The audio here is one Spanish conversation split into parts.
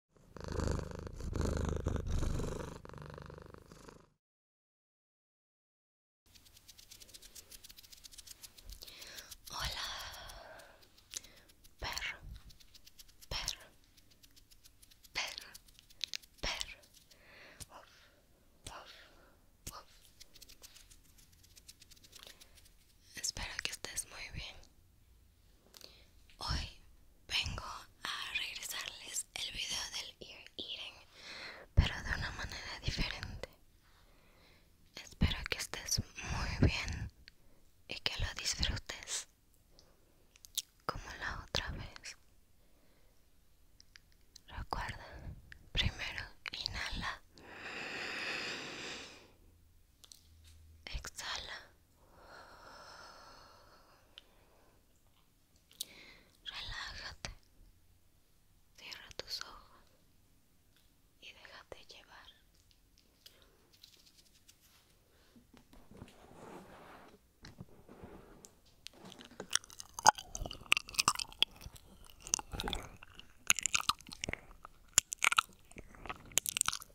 Hola, perro, perro, perro, perro. Uf, uf, Espero que estés muy bien. Hoy vengo a regresarles el video del ear eating, pero de una manera diferente. Espero que estés muy bien y que lo disfrutes como la otra vez. Recuerda, primero inhala, exhala Relájate, cierra tus ojos y déjate llevar.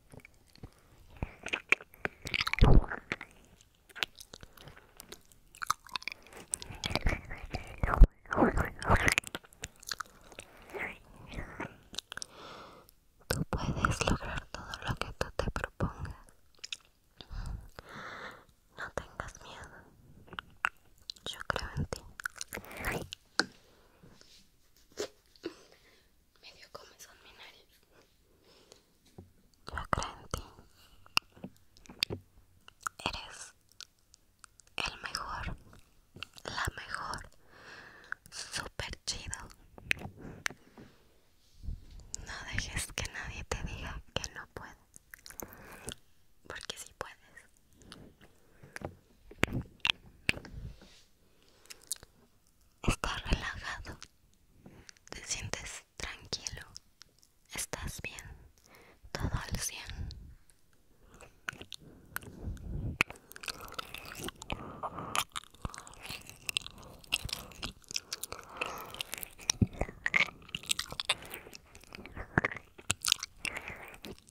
Tú puedes lograr todo lo que tú te propongas. No tengas miedo. Yo creo en ti. Medio son mi nariz. Yo creo en ti. Eres el mejor, la mejor, super chido. No dejes que nadie te diga que no puedes, porque si puedes. Estás relajado, te sientes tranquilo, estás bien, todo al cien.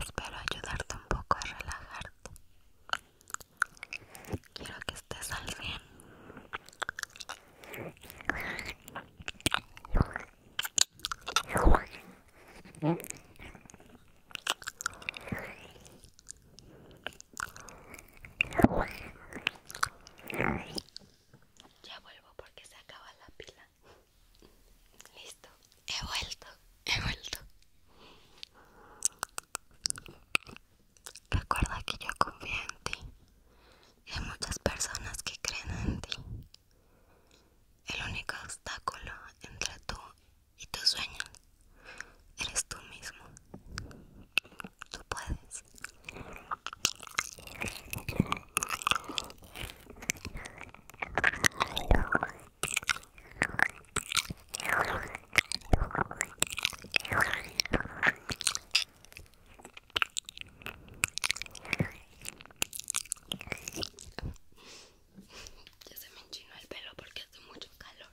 Espero ayudarte un poco a relajarte. Quiero que estés al fin. Ya vuelvo porque se acaba la pila. Listo, he vuelto, he vuelto. Recuerda que yo confío en ti. hay muchas personas que creen en ti. El único obstáculo entre tú y tus sueños eres tú mismo. Tú puedes. Ya se me enchino el pelo porque hace mucho calor.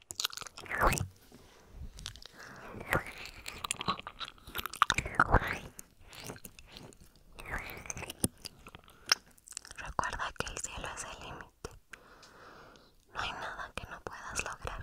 Recuerda que el cielo es el límite. No hay nada que no puedas lograr.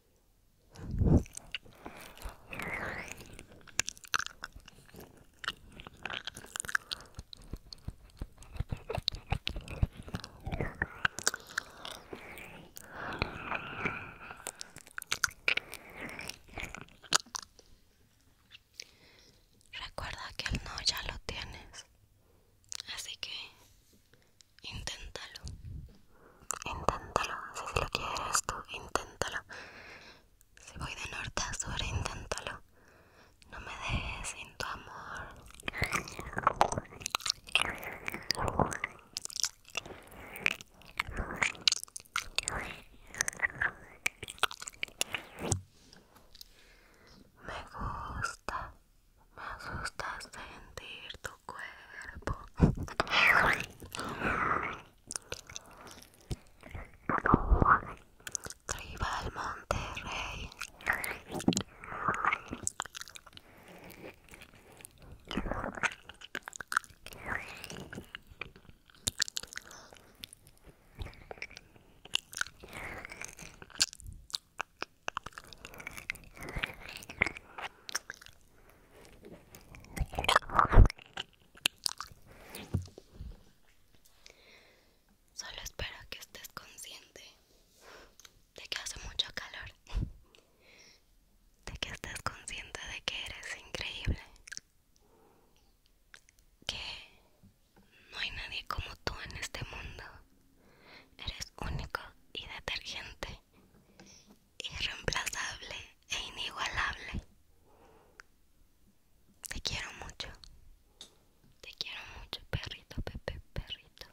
Recuerda que el no ya lo tienes, así que Inténtalo. Inténtalo. Si lo quieres tú, inténtalo. Si voy de norte a sur, inténtalo. No me dejes sin tu amor. Me gusta me asusta sentir tu cuerpo. Tribal Monterrey. Solo espero que estés consciente de que hace mucho calor, de que estés consciente de que eres increíble, que no hay nadie como tú en este mundo, eres único y detergente irreemplazable e inigualable. Te quiero mucho. Te quiero mucho, perrito, Pepe, perrito,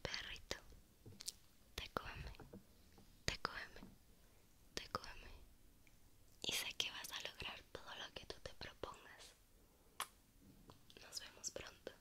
perrito. Te come, te come, te come. Y sé que vas a lograr todo lo que tú te propongas. Nos vemos pronto.